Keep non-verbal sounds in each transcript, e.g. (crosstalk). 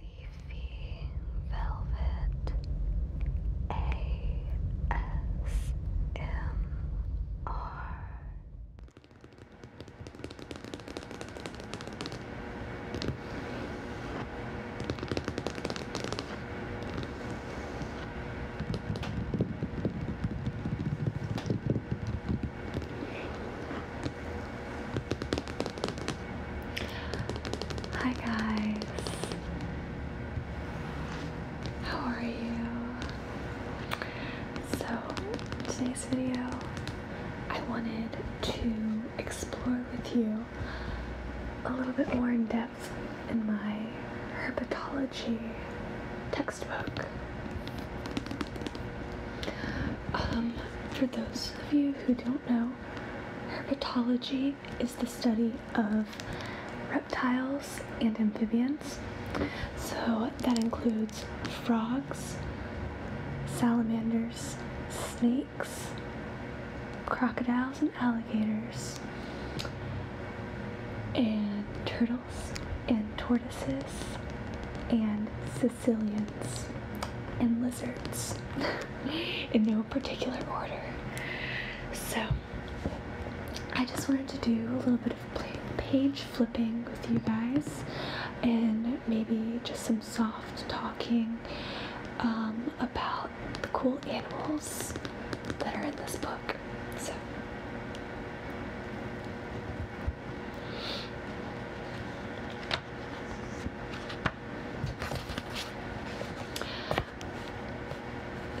Leafy Velvet ASMR Hi guys. How are you? So, today's video I wanted to explore with you a little bit more in depth in my herpetology textbook. Um, for those of you who don't do know, herpetology is the study of reptiles and amphibians. So that includes frogs, salamanders, snakes, crocodiles and alligators, and turtles and tortoises and resilience, and lizards (laughs) in no particular order. So, I just wanted to do a little bit of page flipping with you guys and maybe just some soft talking um, about the cool animals that are in this book. So.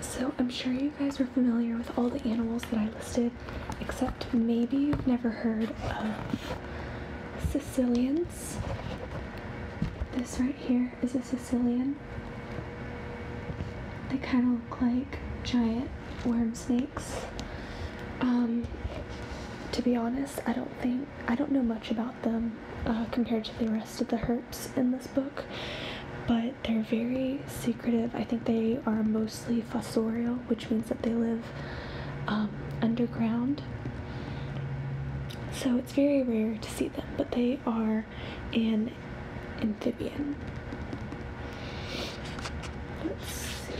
So I'm sure you guys were familiar with all the animals that I listed, except maybe you've never heard of Sicilians. This right here is a Sicilian. They kind of look like giant worm snakes. Um, to be honest, I don't do I don't know much about them uh, compared to the rest of the herps in this book, but they're very secretive. I think they are mostly fossorial, which means that they live um, underground. So it's very rare to see them, but they are an amphibian. Let's see.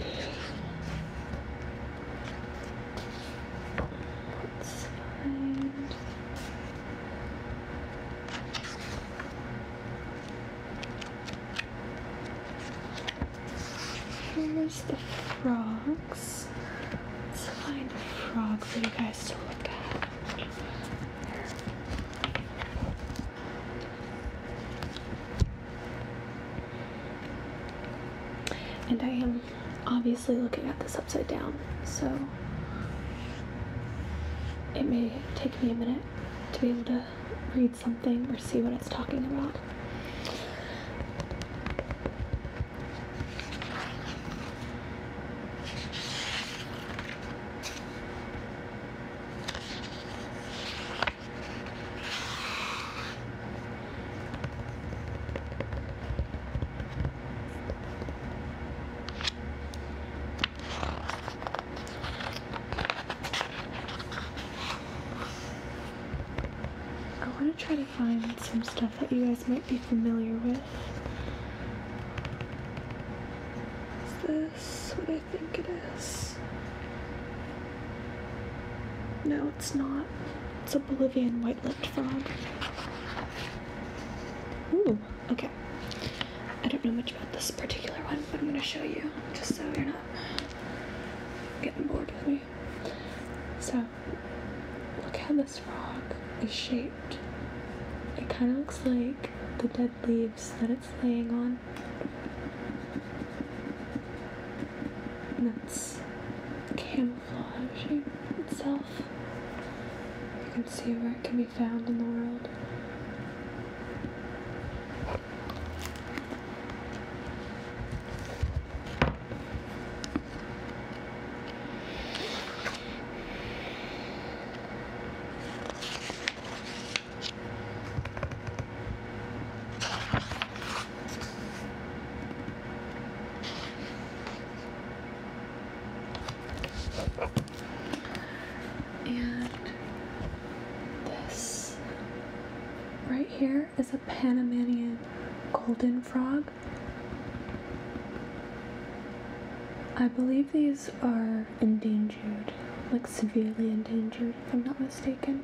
Here's the frogs. Let's find a frog for you guys to look at. And I am obviously looking at this upside down, so it may take me a minute to be able to read something or see what it's talking about. I want to try to find some stuff that you guys might be familiar with. Is this what I think it is? No, it's not. It's a Bolivian white-lipped frog. Ooh, okay. I don't know much about this particular one, but I'm going to show you just so you're not getting bored with me. So, look how this frog is shaped. It kind of looks like the dead leaves that it's laying on that's camouflage itself. You can see where it can be found in the world. And this right here is a Panamanian golden frog. I believe these are endangered, like severely endangered, if I'm not mistaken.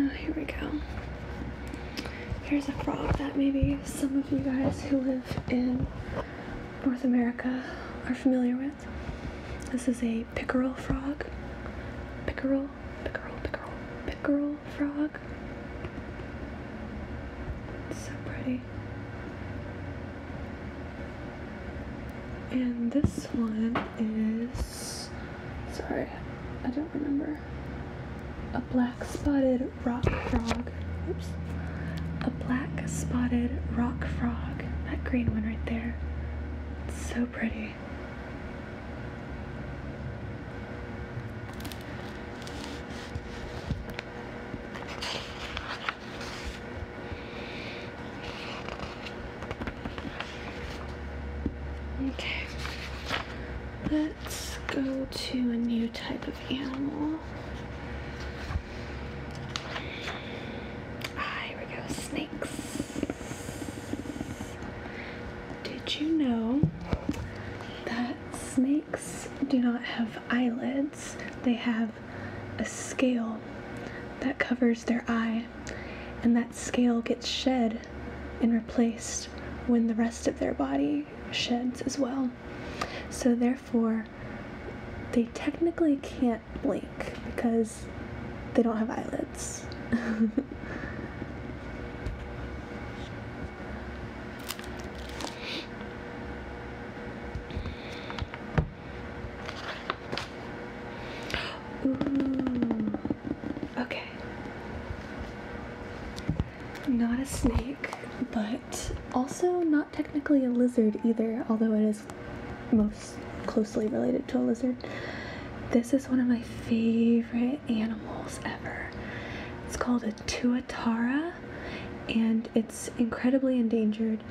Oh, here we go. Here's a frog that maybe some of you guys who live in North America are familiar with. This is a pickerel frog. Pickerel, pickerel, pickerel, pickerel frog. It's so pretty. And this one is, sorry, I don't remember. A black spotted rock frog. Oops. A black spotted rock frog. That green one right there. It's so pretty. Okay, let's go to a new type of animal. Ah, we go, snakes. Did you know that snakes do not have eyelids? They have a scale that covers their eye, and that scale gets shed and replaced when the rest of their body sheds as well. So, therefore, they technically can't blink because they don't have eyelids. Okay. Not a snake, but also not technically a lizard either, although it is most closely related to a lizard. This is one of my favorite animals ever. It's called a tuatara and it's incredibly endangered.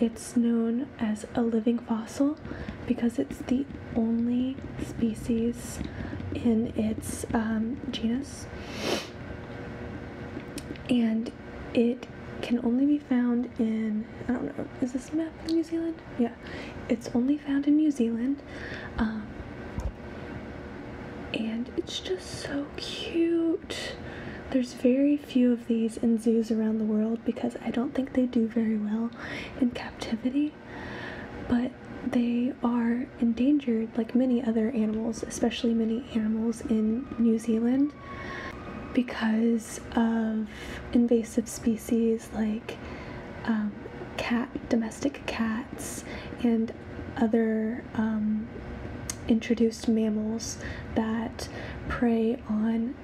It's known as a living fossil because it's the only species in its um, genus. And it can only be found in I don't know is this map of New Zealand? Yeah, it's only found in New Zealand, um, and it's just so cute. There's very few of these in zoos around the world because I don't think they do very well in captivity, but they are endangered like many other animals, especially many animals in New Zealand because of invasive species like um, cat, domestic cats, and other um, introduced mammals that prey on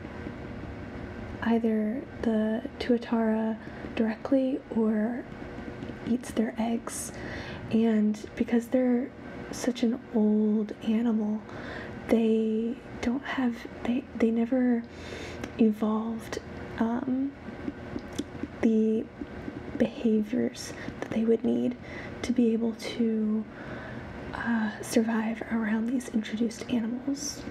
either the tuatara directly or eats their eggs. And because they're such an old animal, they don't have they they never evolved um, the behaviors that they would need to be able to uh, survive around these introduced animals.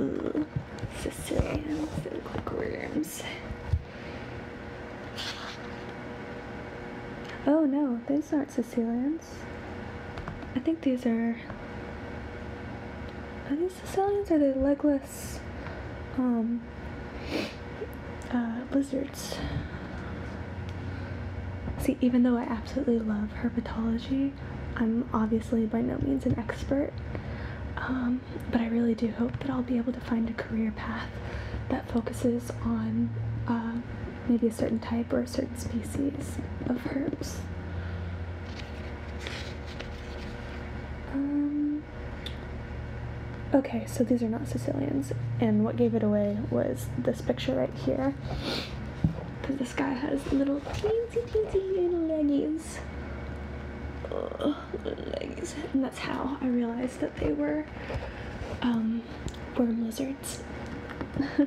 Ooh, Sicilians, they Oh no, those aren't Sicilians. I think these are, these Sicilians? Are they legless um, uh, lizards? See, even though I absolutely love herpetology, I'm obviously by no means an expert. Um, but I really do hope that I'll be able to find a career path that focuses on uh, maybe a certain type or a certain species of herbs. Um, okay, so these are not Sicilians, and what gave it away was this picture right here. Because this guy has little teensy teensy little leggies. Ugh, little And that's how I realized that they were um, worm lizards. (laughs)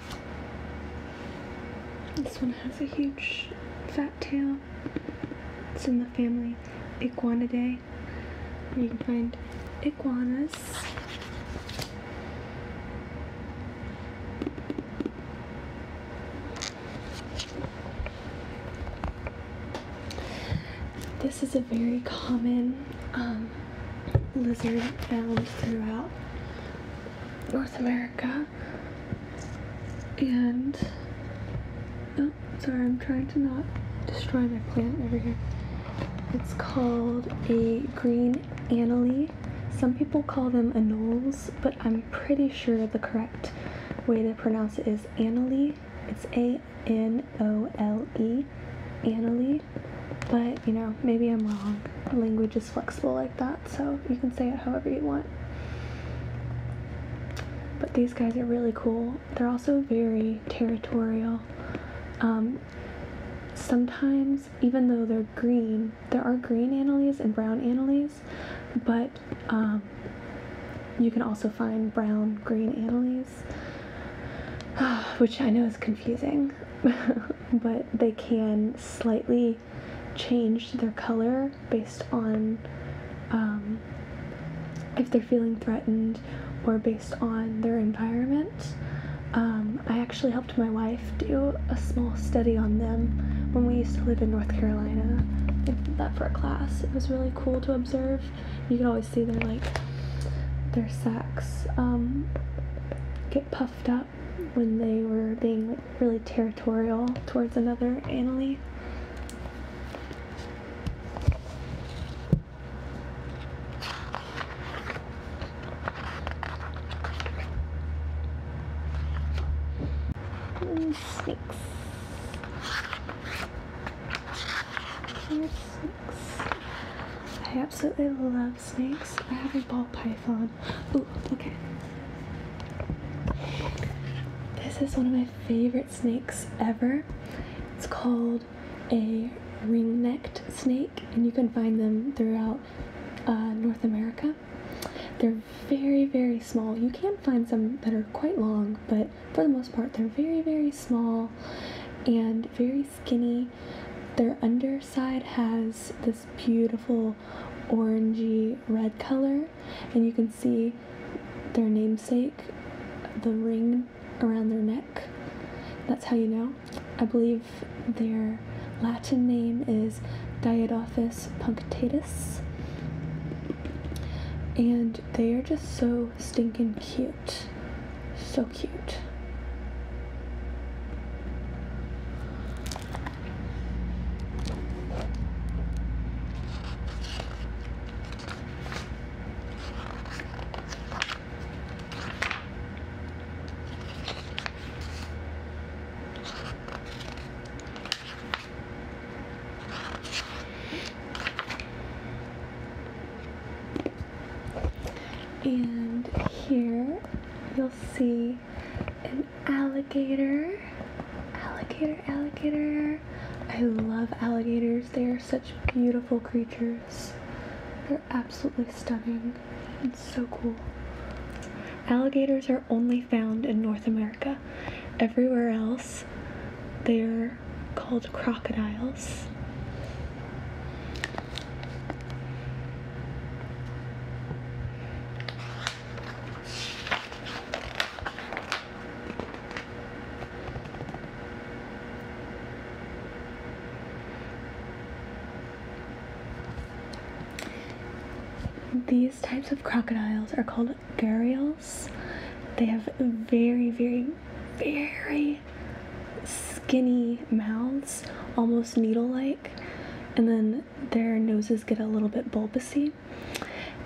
This one has a huge fat tail. It's in the family Iguanidae. You can find iguanas. This is a very common um, lizard found throughout North America and oh sorry I'm trying to not destroy my plant over here it's called a green anole some people call them anoles but I'm pretty sure the correct way to pronounce it is anole it's a-n-o-l-e anole but you know maybe I'm wrong language flexible like that, so you can say it however you want. But these guys are really cool. They're also very territorial. Um, sometimes, even though they're green, there are green anilies and brown anilies, but um, you can also find brown green anilies, (sighs) which I know is confusing, (laughs) but they can slightly Change their color based on um, if they're feeling threatened or based on their environment. Um, I actually helped my wife do a small study on them when we used to live in North Carolina. that for a class. It was really cool to observe. You can always see their like their sacks um, get puffed up when they were being like really territorial towards another Annalie. Snakes. snakes. I absolutely love snakes. I have a ball python. Oh, okay. This is one of my favorite snakes ever. It's called a ring-necked snake, and you can find them throughout uh, North America. They're very, very small. You can find some that are quite long, but for the most part, they're very, very small and very skinny. Their underside has this beautiful orangey red color and you can see their namesake, the ring around their neck. That's how you know. I believe their Latin name is Diadophis punctatus. And they are just so stinking cute. So cute and here you'll see an alligator. Alligator, alligator. I love alligators. They are such beautiful creatures. They're absolutely stunning and so cool. Alligators are only found in North America. Everywhere else, they are called crocodiles. These types of crocodiles are called burials. They have very, very, very skinny mouths, almost needle like and then their noses get a little bit bulbousy,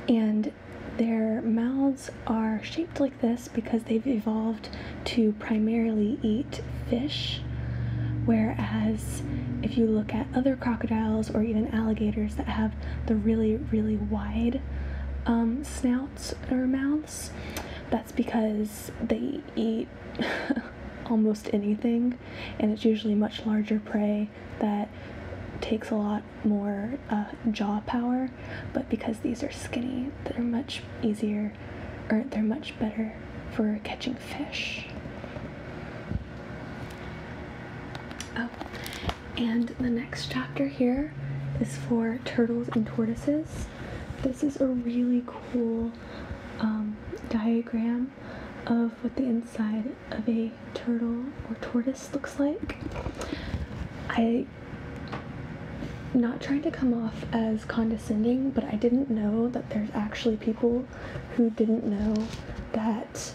and their mouths are shaped like this because they've evolved to primarily eat fish. Whereas, if you look at other crocodiles or even alligators that have the really, really wide um, snouts or mouths, that's because they eat (laughs) almost anything and it's usually much larger prey that takes a lot more uh, jaw power. But because these are skinny, they're much easier, or they're much better for catching fish. Oh, and the next chapter here is for turtles and tortoises. This is a really cool um, diagram of what the inside of a turtle or tortoise looks like. I not trying to come off as condescending, but I didn't know that there's actually people who didn't know that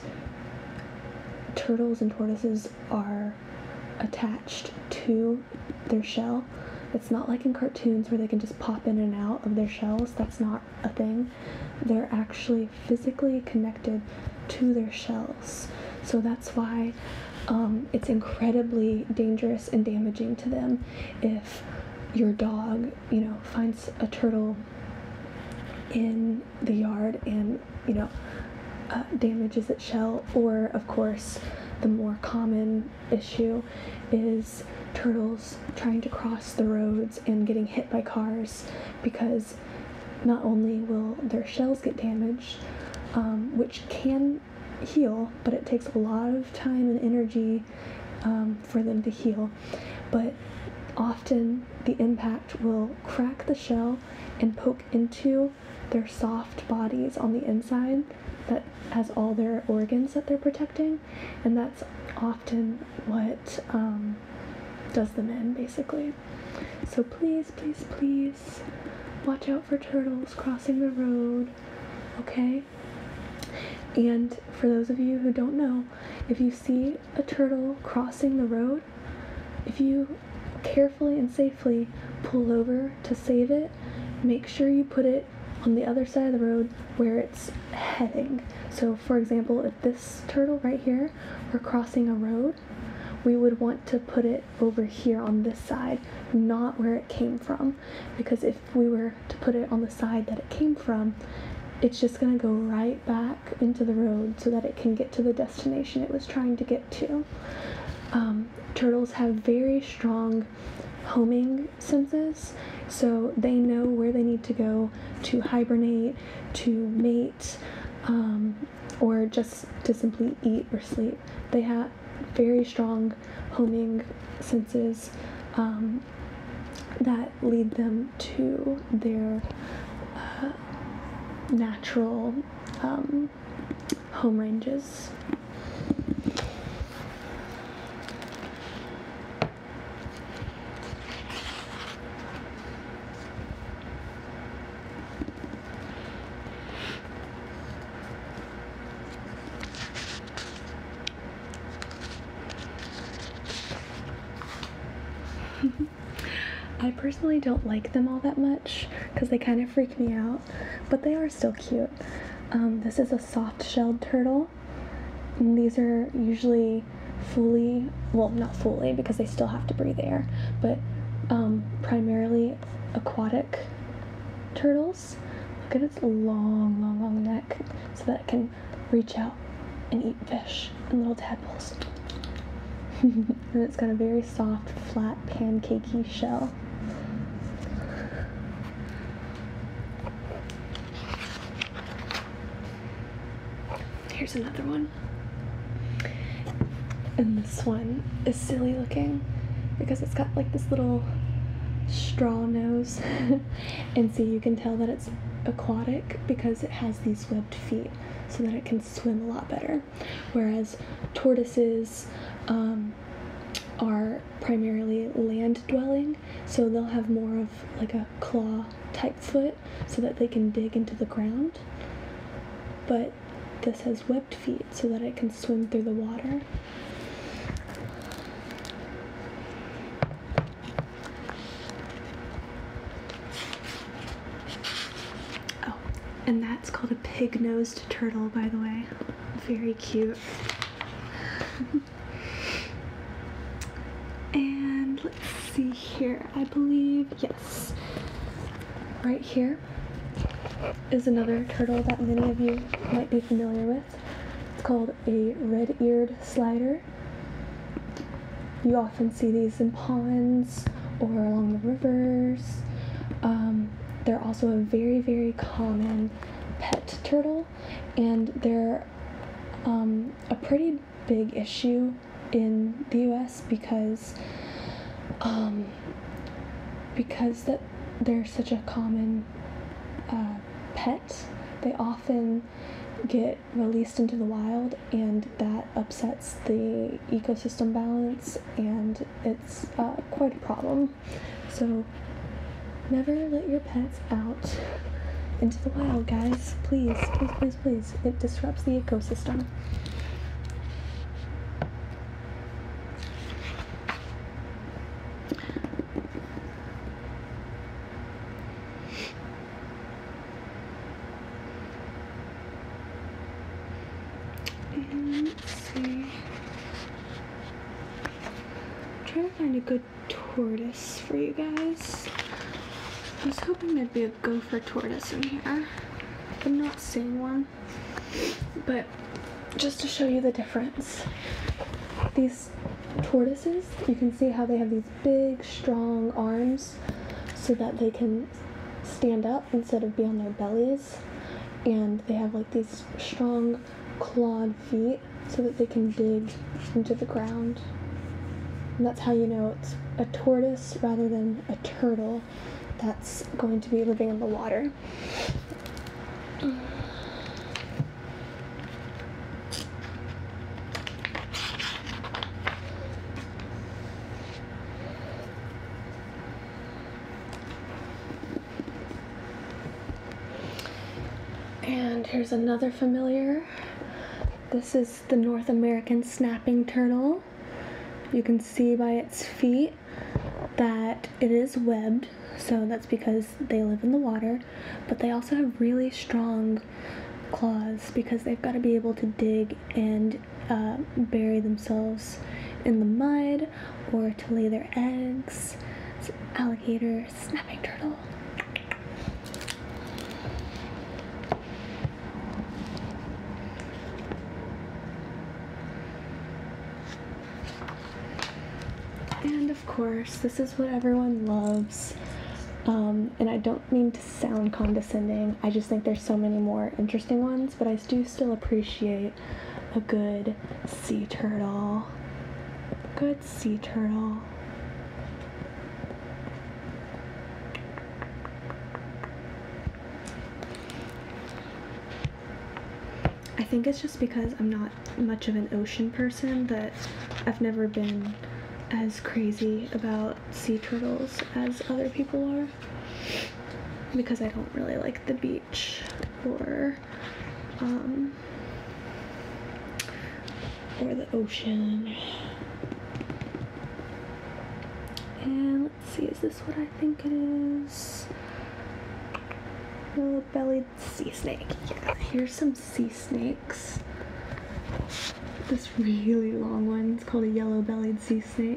turtles and tortoises are attached to their shell it's not like in cartoons where they can just pop in and out of their shells. That's not a thing. They're actually physically connected to their shells. So that's why um, it's incredibly dangerous and damaging to them if your dog, you know, finds a turtle in the yard and, you know, uh, damages its shell, or of course, the more common issue is turtles trying to cross the roads and getting hit by cars because not only will their shells get damaged, um, which can heal, but it takes a lot of time and energy um, for them to heal. But often the impact will crack the shell and poke into their soft bodies on the inside that has all their organs that they're protecting and that's often what um, does the in, basically. So please, please, please watch out for turtles crossing the road, okay? And for those of you who don't know, if you see a turtle crossing the road, if you carefully and safely pull over to save it, make sure you put it on the other side of the road where it's heading. So for example, if this turtle right here were crossing a road, we would want to put it over here on this side, not where it came from. Because if we were to put it on the side that it came from, it's just gonna go right back into the road so that it can get to the destination it was trying to get to. Um, turtles have very strong homing senses so they know where they need to go to hibernate, to mate, um, or just to simply eat or sleep. They have very strong homing senses um, that lead them to their uh, natural um, home ranges. (laughs) I personally don't like them all that much because they kind of freak me out, but they are still cute. Um, this is a soft shelled turtle. And these are usually fully, well, not fully because they still have to breathe air, but um, primarily aquatic turtles. Look at its long, long, long neck so that it can reach out and eat fish and little tadpoles. (laughs) and it's got a very soft, flat, pancakey shell. Here's another one. And this one is silly looking because it's got like this little straw nose. (laughs) and see, you can tell that it's aquatic because it has these webbed feet so that it can swim a lot better. Whereas tortoises um, are primarily land dwelling, so they'll have more of like a claw type foot so that they can dig into the ground. But this has webbed feet so that it can swim through the water. Oh, and that's called a pig-nosed turtle, by the way. Very cute. (laughs) and let's see here. I believe, yes, right here is another turtle that many of you might be familiar with. It's called a red-eared slider. You often see these in ponds or along the rivers. Um, they're also a very, very common pet turtle, and they're um, a pretty big issue in the U.S. because um, because that they're such a common uh, pet, they often get released into the wild, and that upsets the ecosystem balance, and it's uh, quite a problem. So never let your pets out into the wild, guys. Please, please, please, please. It disrupts the ecosystem. let's see trying to find a good tortoise for you guys. I was hoping there'd be a gopher tortoise in here. I'm not seeing one, but just to show you the difference. These tortoises, you can see how they have these big, strong arms so that they can stand up instead of be on their bellies. And they have like these strong clawed feet so that they can dig into the ground. And that's how you know it's a tortoise rather than a turtle that's going to be living in the water. And here's another familiar. This is the North American snapping turtle. You can see by its feet that it is webbed, so that's because they live in the water, but they also have really strong claws because they've got to be able to dig and uh, bury themselves in the mud or to lay their eggs. alligator, snapping turtle. And of course, this is what everyone loves. Um, and I don't mean to sound condescending. I just think there's so many more interesting ones, but I do still appreciate a good sea turtle. Good sea turtle. I think it's just because I'm not much of an ocean person that I've never been as crazy about sea turtles as other people are because I don't really like the beach or um, or the ocean. And let's see, is this what I think it is? Yellow bellied sea snake. Yeah, here's some sea snakes. This really long one, it's called a yellow bellied sea snake.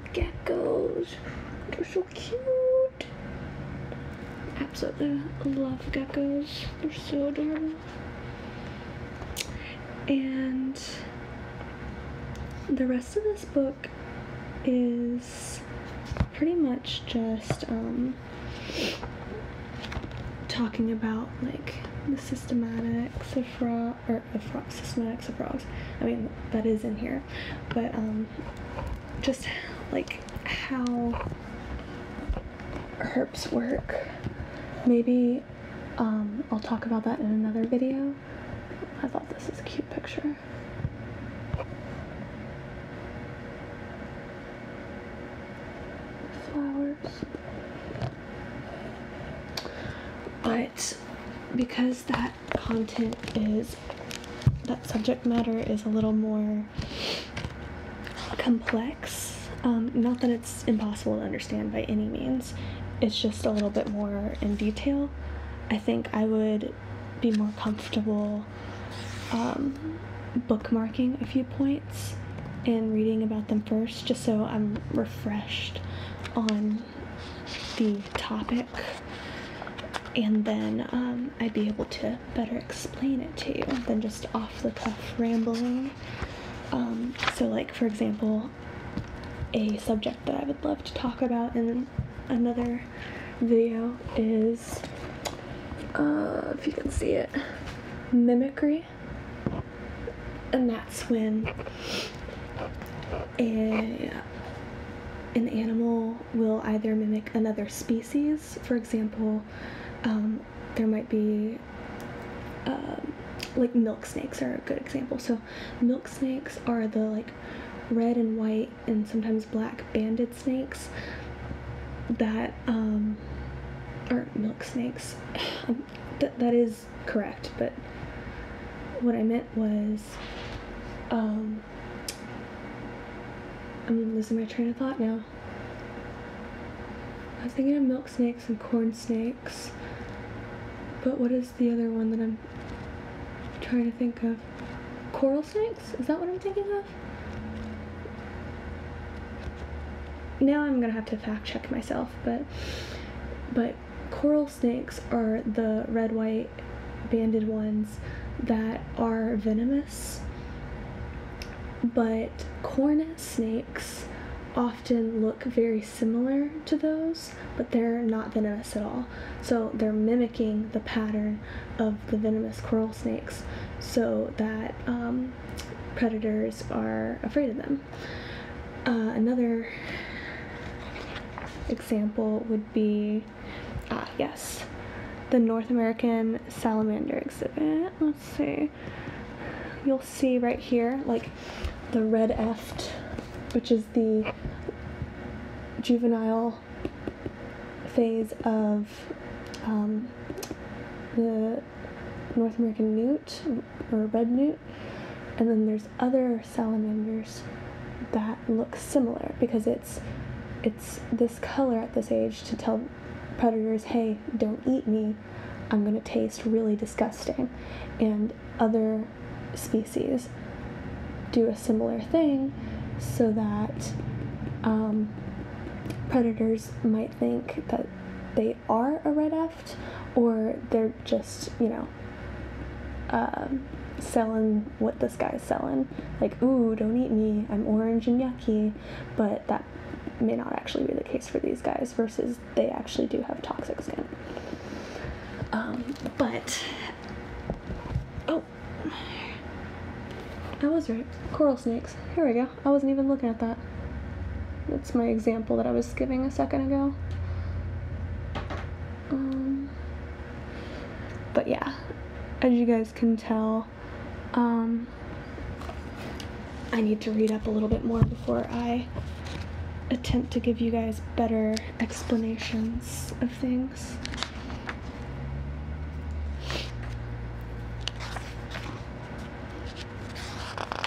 geckos. They're so cute. Absolutely love geckos. They're so adorable. And the rest of this book is pretty much just um, talking about like the systematic. of fraud or the frogs, systematic of frogs. I mean, that is in here, but um, just like how herbs work. Maybe um, I'll talk about that in another video. I thought this is a cute picture. Flowers. But because that content is, that subject matter is a little more complex. Um, not that it's impossible to understand by any means, it's just a little bit more in detail. I think I would be more comfortable um, bookmarking a few points and reading about them first, just so I'm refreshed on the topic and then um, I'd be able to better explain it to you than just off the cuff rambling. Um, so, like, for example, a subject that I would love to talk about in another video is uh, if you can see it mimicry. And that's when an animal will either mimic another species. For example, um, there might be um, like milk snakes are a good example. So milk snakes are the like red and white and sometimes black banded snakes that um, aren't milk snakes. (sighs) that, that is correct, but what I meant was, um, I'm losing my train of thought now. I was thinking of milk snakes and corn snakes, but what is the other one that I'm trying to think of? Coral snakes? Is that what I'm thinking of? Now I'm gonna have to fact check myself, but but coral snakes are the red white banded ones that are venomous, but cornet snakes often look very similar to those, but they're not venomous at all. So they're mimicking the pattern of the venomous coral snakes so that um, predators are afraid of them. Uh, another example would be, ah, yes, the North American salamander exhibit. Let's see. You'll see right here, like the red eft, which is the juvenile phase of um, the North American newt, um, or red newt. And then there's other salamanders that look similar because it's it's this color at this age to tell predators, hey, don't eat me. I'm going to taste really disgusting. And other species do a similar thing so that um, predators might think that they are a red or they're just, you know, um, selling what this guy's selling. Like, ooh, don't eat me, I'm orange and yucky. But that may not actually be the case for these guys, versus they actually do have toxic skin. Um, but, oh, I was right. Coral snakes. Here we go. I wasn't even looking at that. That's my example that I was giving a second ago. Um, but yeah, as you guys can tell, um, I need to read up a little bit more before I attempt to give you guys better explanations of things.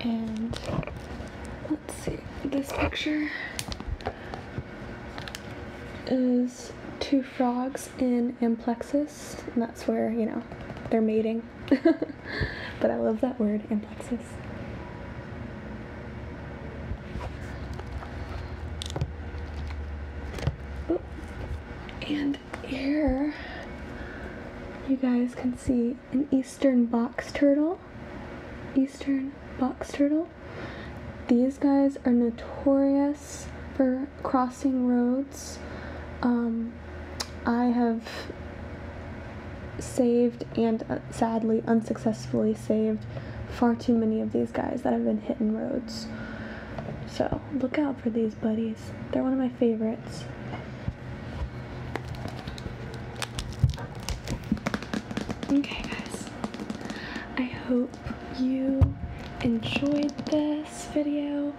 And let's see, this picture is two frogs in amplexus, and that's where, you know, they're mating. (laughs) but I love that word, amplexus. Oh, and here you guys can see an eastern box turtle. Eastern box turtle. These guys are notorious for crossing roads. Um, I have saved and uh, sadly unsuccessfully saved far too many of these guys that have been hit in roads. So look out for these buddies. They're one of my favorites. Okay guys, I hope you enjoyed this video.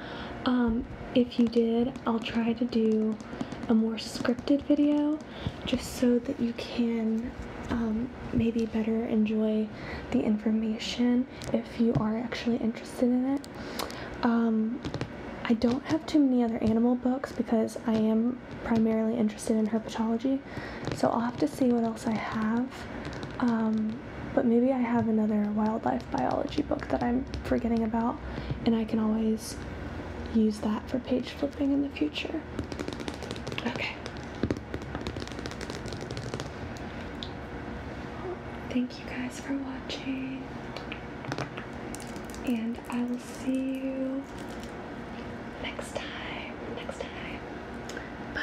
Um, if you did, I'll try to do a more scripted video just so that you can um, maybe better enjoy the information if you are actually interested in it. Um, I don't have too many other animal books because I am primarily interested in herpetology, so I'll have to see what else I have. Um, but maybe I have another wildlife biology book that I'm forgetting about, and I can always use that for page flipping in the future. Okay. Thank you guys for watching. And I will see you next time. Next time. Bye.